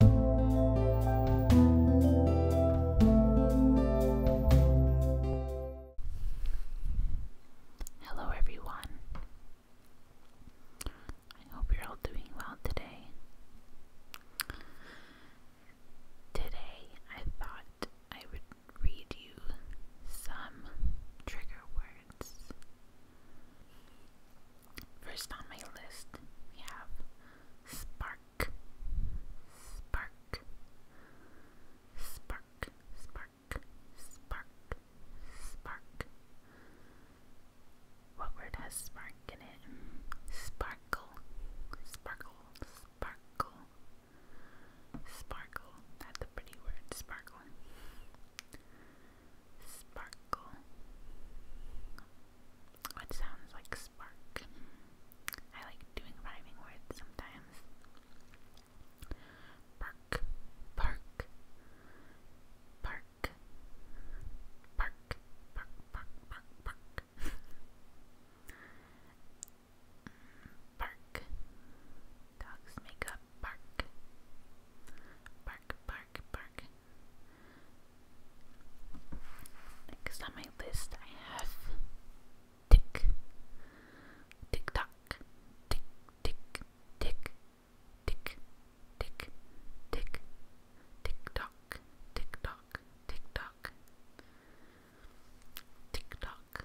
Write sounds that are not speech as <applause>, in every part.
Hello, everyone. I hope you're all doing well today. Today, I thought I would read you some trigger words. First on my list, we have Spark. Spark. Spark. Spark. Spark. Spark. What word has spark in it? Sparkle. Sparkle. Sparkle. Sparkle. That's a pretty word, sparkle. Sparkle. What sounds like spark? I like doing rhyming words sometimes. Park, park, park, park, park, park, park, Bark. <laughs> Dogs make up bark. Bark, bark bark, bark. Next on my list, I have tick, tick tock, tick, tick, tick, tick, tick, tick, tick tock, tick tock, tick tock, tick tock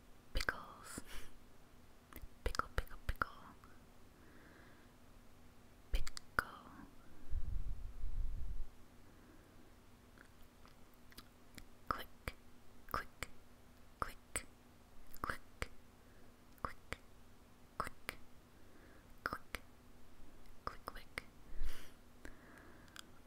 pickles, pickle, pickle, pickle, pickle, quick, quick, quick, quick, quick, quick, quick, quick, quick.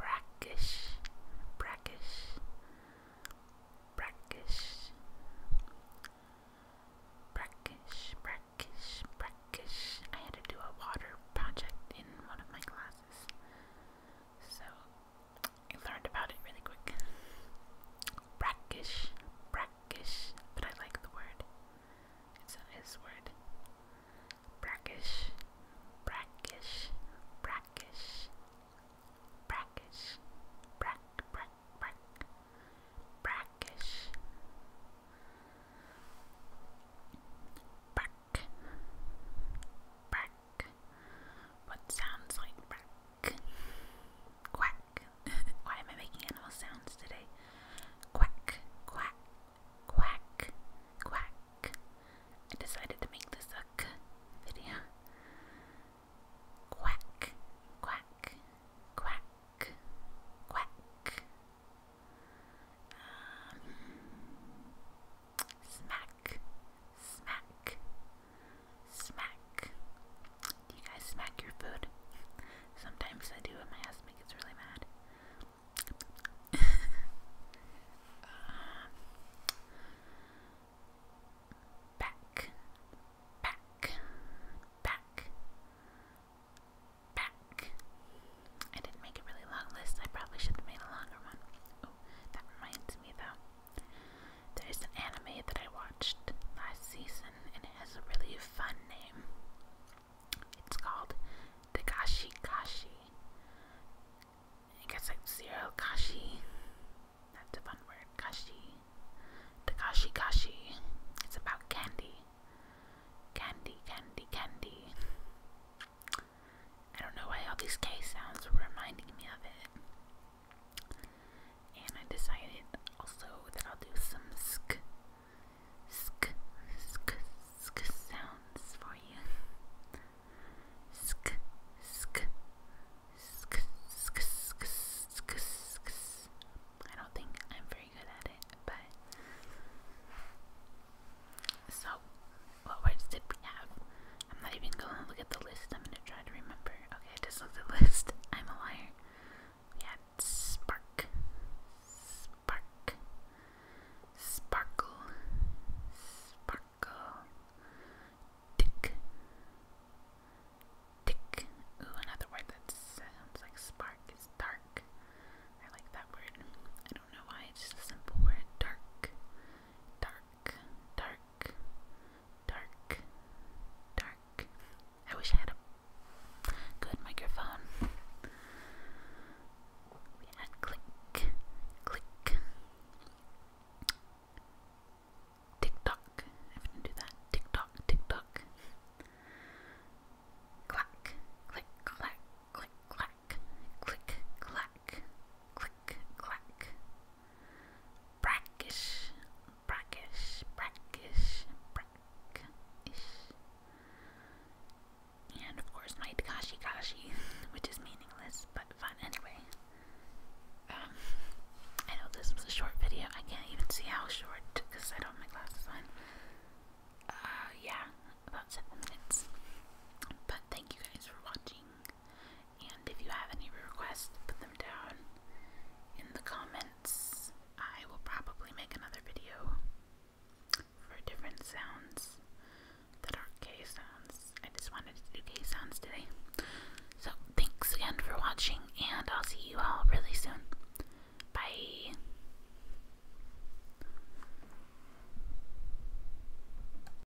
brackish, brackish, brackish, brackish, brackish, brackish. I had to do a water project in one of my classes, so I learned about it really quick. Brackish, brackish, but I like the word. It's a nice word brackish, brackish, brackish, brackish, brack, brack, brack, brackish, brack, brack, what sounds like brack, quack. <laughs> Why am I making animal sounds today? Quack, quack, Quack, quack. I decided to make this a k video. Quack, quack, quack, quack. Um, smack, smack, smack. Do you guys smack your food? Sometimes I do, and my husband gets really mad. <laughs> back, back, back, back. I didn't make a really long list. I probably should have made a longer one. Oh, that reminds me though. There's an anime that I watched last season, and it has a really fun name. It's called Dagashi Kashi. I guess like zero Kashi. That's a fun word. Kashi. Dagashi Kashi. It's about candy. Candy, candy, candy. I don't know why all these K sounds were reminding me of it and I decided also that I'll do some sk sk sk sk sounds for you. Sk sk sk sk sk sk sk. I don't think I'm very good at it, but so what words did we have? I'm not even gonna look at the list. I'm gonna try to remember. Okay, I just looked at the list. I'm a liar. We spark, spark, sparkle, sparkle, tick, tick. Ooh, another word that sounds like spark is dark. I like that word. I don't know why, it's a simple word. Dark, dark, dark, dark, dark. I wish I had a good microphone. We had click, click, tick tock. I'm do that. Tick tock, tick tock. Clack, click, clack, click, clack, click, clack, click, clack brackish, brackish, brackish, brackish. And of course, my kashi Kashi, <laughs> which is meaningless but fun anyway. Um, I know this was a short video. I can't even see how short because I don't have my glasses on. Uh, yeah, about seven minutes. But thank you guys for watching. And if you have any requests, put them down in the comments. I will probably make another video for different sounds that are K sounds. I just wanted to do K sounds today. So, thanks again for watching, and I'll see you all really soon. Bye.